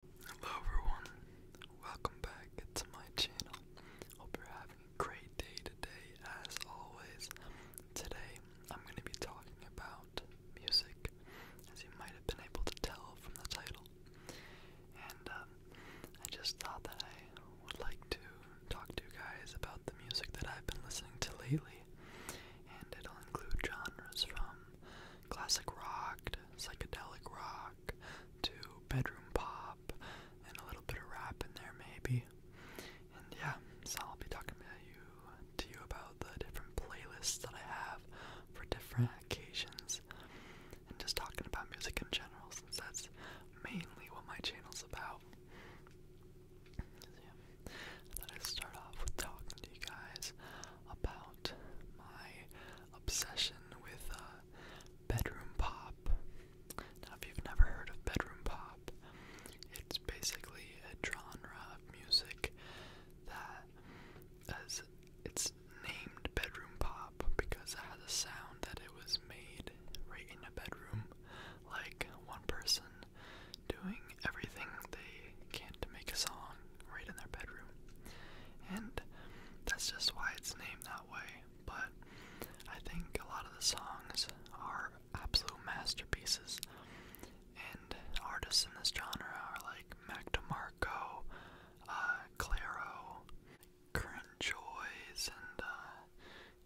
Hello everyone, welcome back to my channel. Hope you're having a great day today as always. Today I'm going to be talking about music, as you might have been able to tell from the title. And um, I just thought that I would like to talk to you guys about the music that I've been listening to lately. And it'll include genres from classic rock psychedelic rock to bedroom pop and a little bit of rap in there maybe. And yeah, so I'll be talking about you to you about the different playlists that I have for different occasions and just talking about music in general since that's mainly what my channel's about. So yeah, I thought I'd start off with talking to you guys about my obsession with uh, bedroom pop. Now, if you've never heard of bedroom pop, it's basically a genre of music that as it's named bedroom pop because it has a sound that it was made right in a bedroom, like one person doing everything they can to make a song right in their bedroom. And that's just why it's named that way. But I think a lot of the songs are absolute masterpieces. And artists in this genre are like Mac DeMarco, uh, Current Joys, and uh,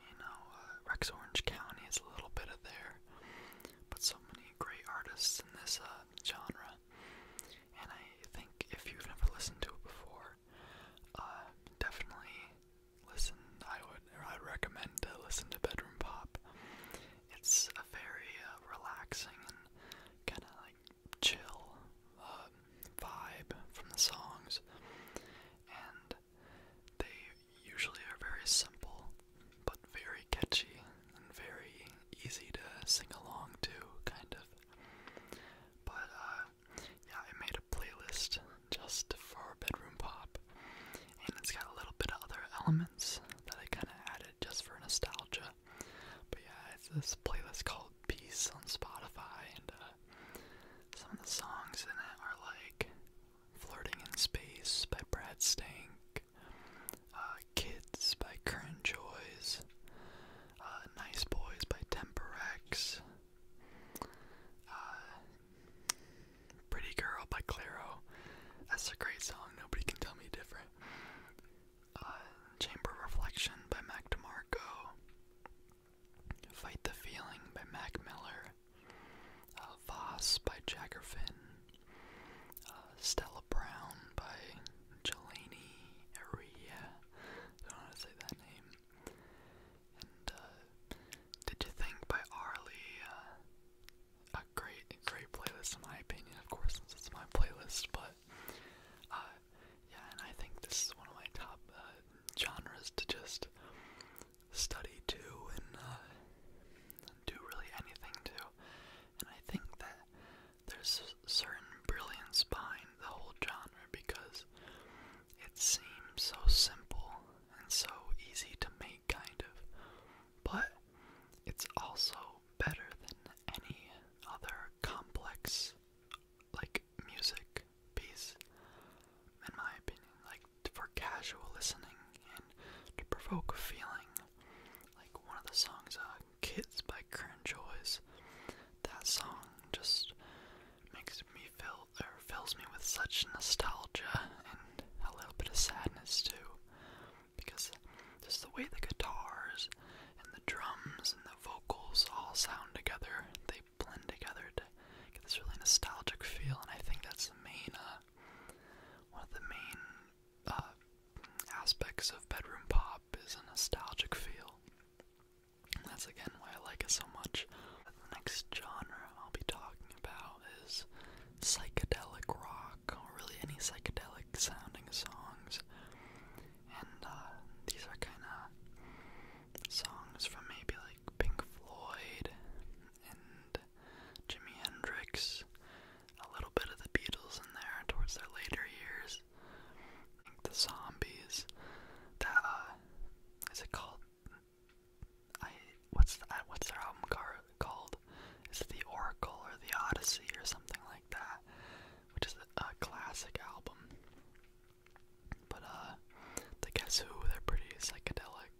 you know, uh, Rex Orange County is a little bit of there. But so many great artists in this uh, genre. And I think if you've never listened to it before, uh, definitely listen. I would I'd recommend to listen to Bedroom Pop. It's a very uh, relaxing and kind of like chill um, vibe from the songs, and they usually are very simple but very catchy and very easy to sing along to, kind of. But uh, yeah, I made a playlist just for bedroom pop, and it's got a little bit of other elements that I kind of added just for nostalgia. But yeah, it's this playlist called Peace on Spotify, and uh, some of the songs in it are like Flirting in Space by Brad Stank, uh, Kids by Current Joys, uh, Nice Boys by Temperex, uh, Pretty Girl by Claro. That's a great song, nobody can tell me different. Chamber Reflection by Mac DeMarco, Fight the Feeling by Mac Miller, uh, Voss by Jaggerfin, uh, Stella Brown by Jelani Aria. I don't know to say that name. And uh, Did You Think by Arlie. Uh, a great, great playlist in my opinion. Of course, this is my playlist, but uh, yeah, and I think this is one of my top uh, genres to just study too, and uh, do really anything to and I think that there's a certain brilliance behind the whole genre because it seems so simple and so easy to make, kind of, but it's also better than any other complex, like, music piece, in my opinion, like, for casual listening and to provoke a feeling like one of the songs, uh, Kids by Current Joys. That song just makes me feel, or fills me with such nostalgia and a little bit of sadness too. Because just the way the guitars and the drums and the vocals all sound together, they blend together to get this really nostalgic feel, and I think that's the main, uh, one of the main uh, aspects of bedroom pop is a nostalgic feel. And that's again why I like it so much. The next genre I'll be talking about is psychedelic rock, or really any psychedelic sounding songs. And uh, these are kind of songs from maybe like Pink Floyd and Jimi Hendrix a little bit of the Beatles in there towards their later years. I the Zombies. That uh, is it called? I what's the, what's their album car, called? Is it the Oracle or the Odyssey or something like that? Which is a, a classic album. But uh, the Guess Who they're pretty psychedelic.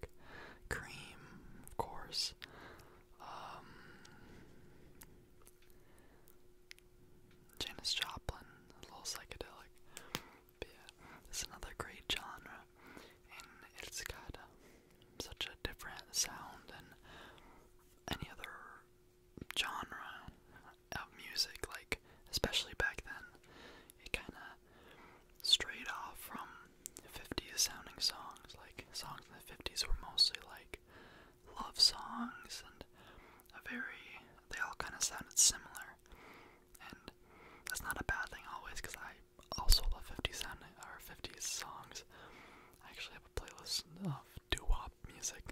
Cream, of course um, Janis Joplin, a little psychedelic. But yeah, it's another great genre, and it's got um, such a different sound than any other genre of music. Like, especially back then, it kind of straight off from 50s sounding songs. Like, songs in the 50s were mostly like love songs and a very. They all kind of sounded similar. And that's not a bad thing always because I also love 50s sounding or 50s songs. I actually have a playlist of doo wop music.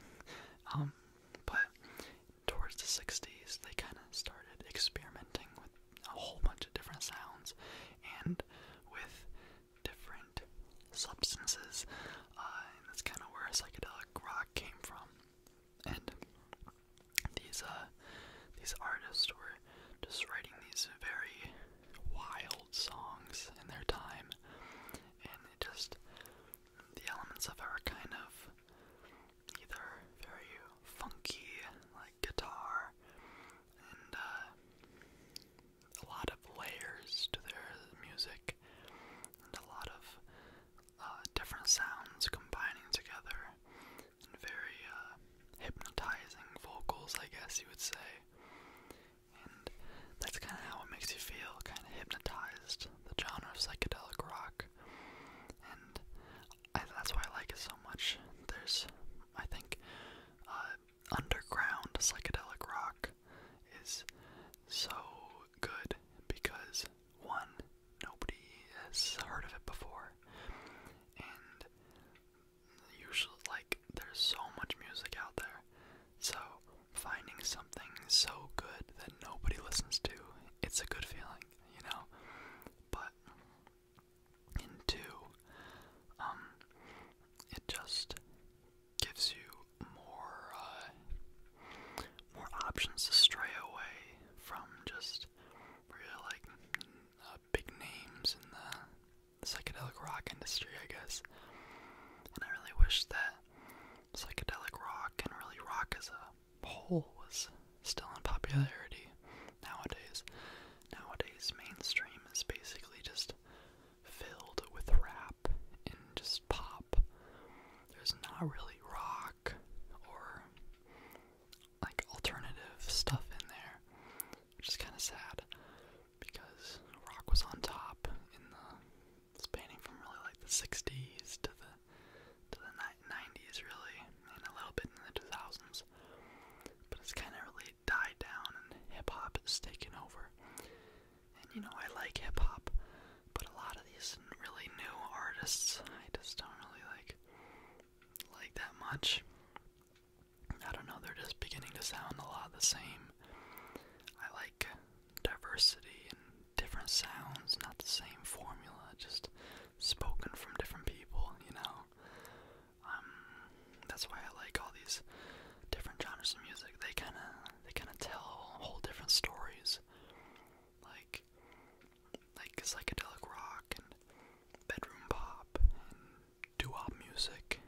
Um, but towards the 60s, they kind of started experimenting with a whole bunch of different sounds and with different substances. Uh, that's kind of where psychedelic rock came from. And these uh, these artists were just writing these very wild songs in their time, and it just the elements of it are kind of either very funky, like guitar, and uh, a lot of layers to their music, and a lot of uh, different sounds combining together, and very uh, hypnotizing vocals, I guess you would say. And that's kind of how it makes you feel, kind of hypnotized, the genre of psychedelic rock that's why I like it so much. There's, I think, uh, underground psychedelic rock is so good because one, nobody has heard of it before, and usually, like, there's so much music out there, so finding something so good that nobody listens to, it's a good feeling, you know? But and um, it just gives you more uh, more options to stray away from just really like uh, big names in the psychedelic rock industry, I guess. And I really wish that psychedelic rock and really rock as a whole was still in popularity nowadays. Nowadays, mainstream is basically just filled with rap and just pop. There's not really rock or like alternative stuff in there, which is kind of sad because rock was on top in the spanning from really like the 60s to the to the '90s, really, and a little bit in the 2000s. But it's kind of really died down, and hip hop has taken over. And you know, I like hip hop, but a lot of these really new artists, I just don't really like like that much. I don't know, they're just beginning to sound a lot the same. I like diversity and different sounds, not the same formula, just spoken from different people, you know. Um, that's why I like all these different genres of music. They kind of they kind of tell whole different stories, like like psychedelic rock and bedroom pop and doo-wop music.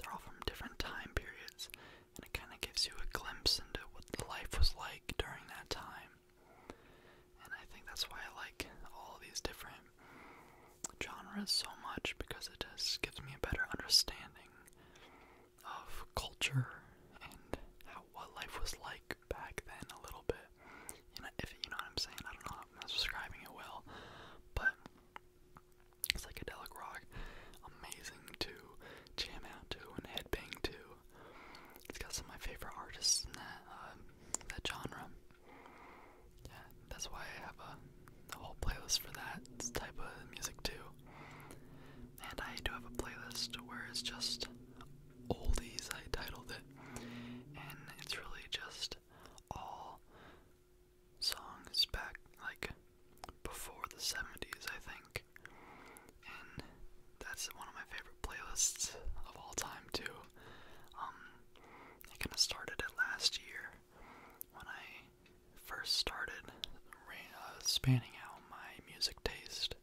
They're all from different time periods, and it kind of gives you a glimpse into what life was like during that time. And I think that's why I like all these different genres so much because it just gives me a better understanding of culture and how what life was like back then a little bit. You know, if you know what I'm saying, I don't know how I'm describing it well, but psychedelic rock, amazing to jam out to and headbang to. It's got some of my favorite artists in that um, that genre. Yeah, that's why I have a, a whole playlist for that type of music too. And I do have a playlist where it's just oldies. I titled it, and it's really just all songs back like before the 70s, I think and that's one of my favorite playlists of all time too. Um, I kind of started it last year when I first started uh, spanning out my music taste,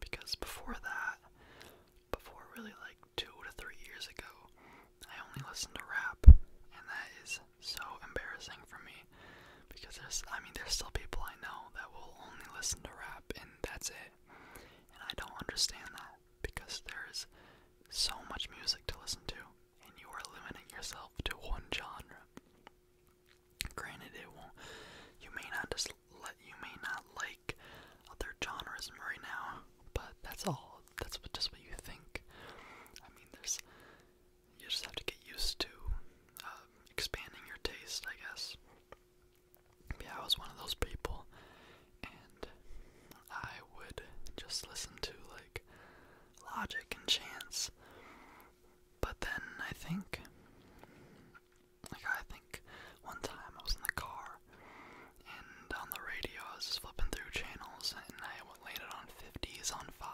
because before that, before really like two to three years ago, I only listened to rap, and that is so embarrassing for me because there's, I mean, there's still people I know that will only listen to rap, and that's it. And I don't understand that because there's so much music to listen to, and you are limiting yourself to one genre. Granted, it won't. You may not just You may not like other genres right now, but that's all. That's what, just what you think. I mean, there's. You just have to get used to uh, expanding your taste, I guess yeah, I was one of those people, and I would just listen to like logic and chance. But then I think, like, I think one time I was in the car and on the radio I was just flipping through channels and I landed on 50s on 5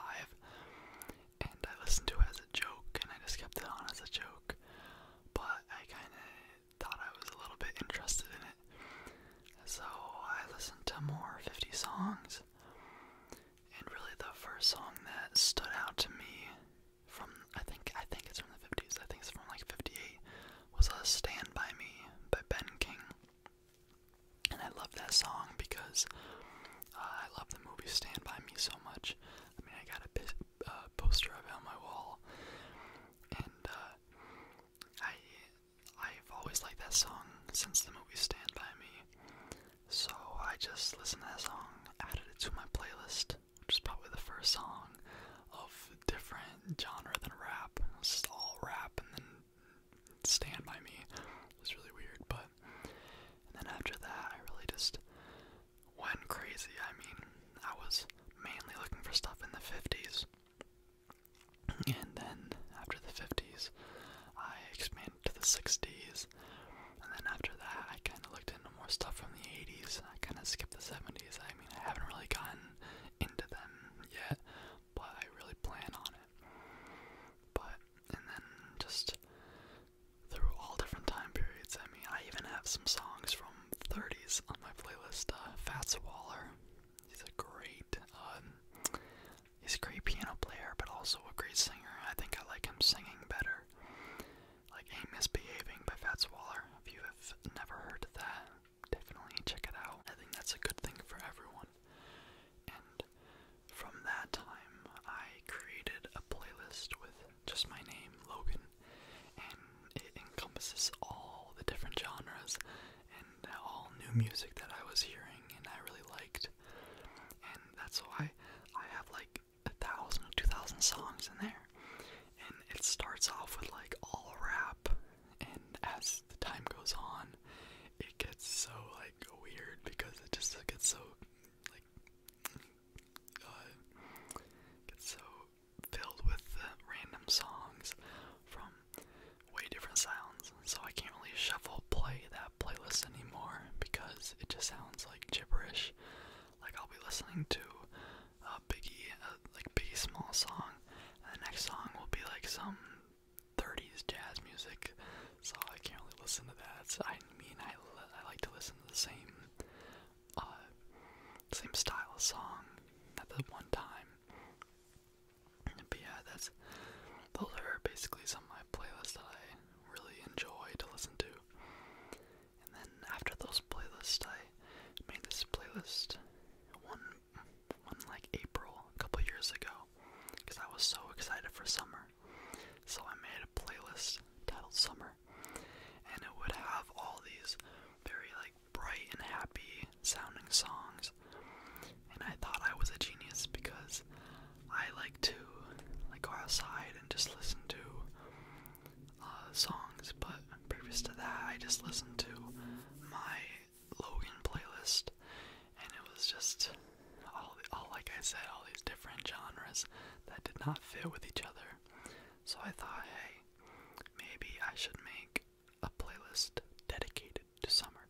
and I listened to it as a joke and I just kept it on as a joke but I kind of thought I was a little bit interested in it. So I listened to more 50 songs, and really the first song that stood out to me from I think I think it's from the 50s. I think it's from like 58 was a Stand by Me by Ben King. And I love that song because uh, I love the movie Stand by Me so much. I mean, I got a uh, poster of it on my wall, and uh, I I've always liked that song since the movie Stand by Me. So I just listened to that song, added it to my playlist, which is probably the first song of different genre than rap. It just all rap, and then Stand by Me. It was really weird, but then after that, I really just went crazy. I mean, I was mainly looking for stuff in the 50s. And then after the 50s, I expanded to the 60s. And then after that, I kind of looked into more stuff from the 80s. I kind of skipped the 70s. I mean, I haven't really gotten into them yet, but I really plan on it. But, and then just through all different time periods. I mean, I even have some songs from 30s on my playlist. Uh, Fats Waller, he's a great, um, he's a great piano player, but also a great singer. I think I like him singing better. Like "Ain't Misbehaving" by Fats Waller. If you have never heard that, definitely check it out. I think that's a good thing for everyone. And from that time, I created a playlist with just my name, Logan, and it encompasses all the different genres and all new music that I was hearing and I really liked. And that's why I have like a thousand, two thousand songs in there. And it starts off with like all rap, and as the time goes on, it gets so like weird because it just gets so like uh, so filled with uh, random songs from way different sounds. So I can't really shuffle play that playlist anymore because it just sounds like gibberish. Like I'll be listening to a Biggie, uh, like Biggie Small song, and the next song will be like some 30s jazz music so I can't really listen to that. I mean, I, I like to listen to the same, uh, same style of song at the one time. But yeah, that's those are basically some of my playlists that I really enjoy to listen to. And then after those playlists, I made this playlist one, one like April a couple years ago, because I was so excited for summer. So I made a playlist titled Summer, and it would have all these very like bright and happy sounding songs. And I thought I was a genius because I like to like go outside and just listen to uh, songs. But previous to that, I just listened to my Logan playlist, and it was just all, all like I said, all these different genres that did not fit with each other. So I thought, hey, maybe I should make a playlist dedicated to summer.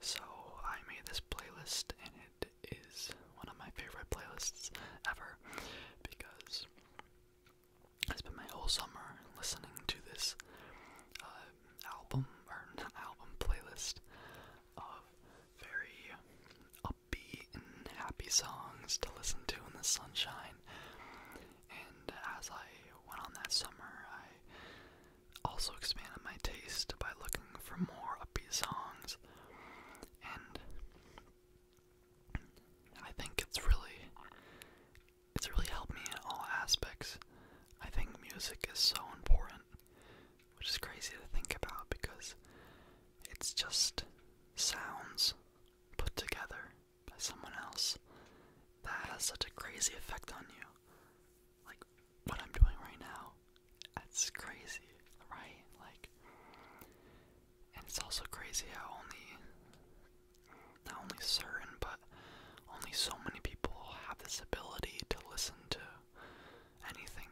So I made this playlist, and it is one of my favorite playlists ever because I spent my whole summer listening to this uh, album or not album playlist of very upbeat and happy songs to listen to in the sunshine. And as I went on that summer, I also expanded my taste by looking for more upbeat songs. And I think it's really it's really helped me in all aspects. I think music is so important which is crazy to think about because it's just sounds put together by someone else that has such a crazy effect on you. Like what I'm doing right now, that's crazy, right? Like, and it's also crazy how only, not only certain, but only so many people have this ability to listen to anything.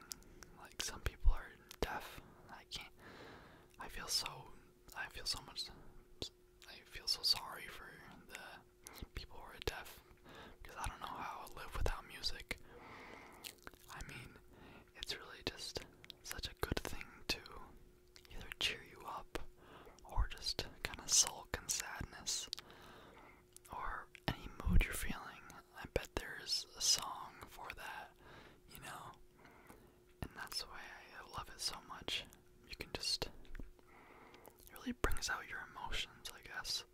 Like some people are deaf. I can't. I feel so. I feel so much. I feel so sorry for the people who are deaf because I don't know how I live without music. I mean, it's really just such a good thing to either cheer you up or just kind of sulk in sadness or any mood you're feeling. I bet there's a song for that, you know? And that's why I love it so much. You can just. It really brings out your emotions, I guess.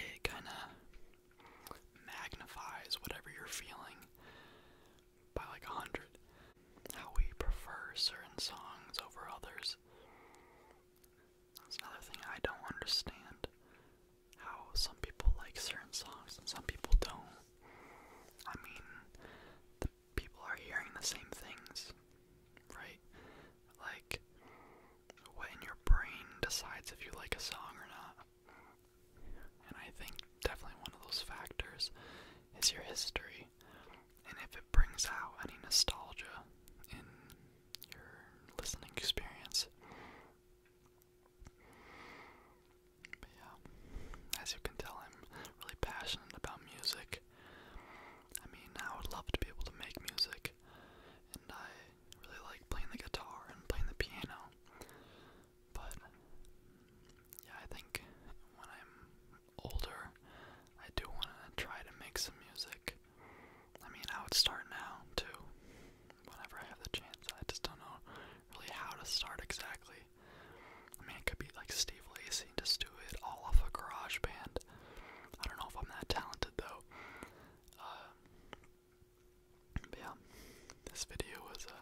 It kind of magnifies whatever you're feeling by like a hundred. How we prefer certain songs over others. That's another thing I don't understand. How some people like certain songs and some people don't. I mean, the people are hearing the same things, right? Like, what in your brain decides if you like a song or not? And I think definitely one of those factors is your history. And if it brings out any nostalgia in your listening experience. yeah, as you can tell, I'm really passionate about music. I mean, I would love to be able to make music, and I really like playing the guitar and playing the piano. But yeah, I think when I'm older, I do want to try to make some music. I mean, I would start now too, whenever I have the chance. I just don't know really how to start exactly. I mean, it could be like Steve Lacy, just do all off a garage band. I don't know if I'm that talented though. Uh, yeah, this video was uh,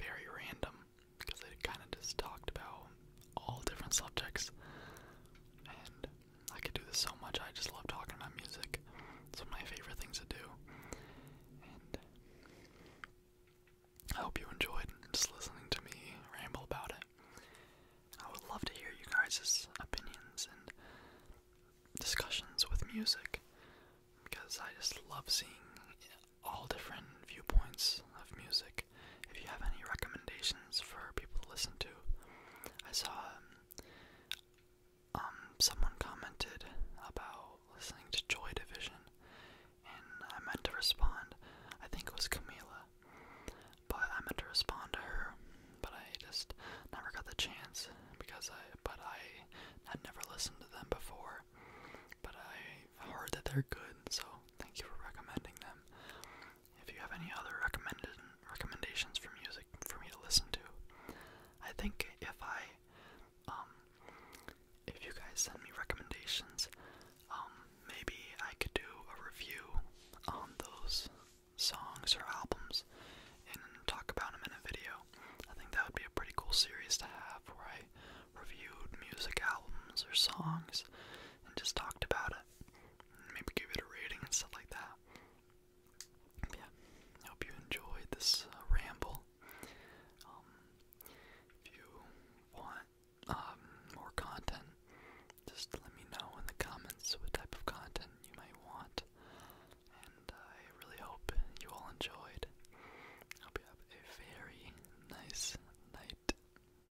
very random because it kind of just talked about all different subjects I could do this so much. I just love talking about music. It's one of my favorite things to do. And I hope you enjoyed just listening to me ramble about it. I would love to hear you guys' opinions and discussions with music because I just love seeing all different viewpoints of music if you have any recommendations for people to listen to, I saw um, um, someone commented about listening to Joy Division, and I meant to respond. I think it was Camila, but I meant to respond to her, but I just never got the chance because I. But I had never listened to them before, but I heard that they're good, so thank you for recommending them if you have any other recommended recommendations for music for me to listen to. I think if I, um, if you guys send me recommendations, um, maybe I could do a review on those songs or albums and talk about them in a video. I think that would be a pretty cool series to have where I reviewed music albums or songs and just talked about it maybe give it a rating and stuff like that. yeah, I hope you enjoyed this uh, ramble. Um, if you want um, more content, just let me know in the comments what type of content you might want. And I really hope you all enjoyed. hope you have a very nice night.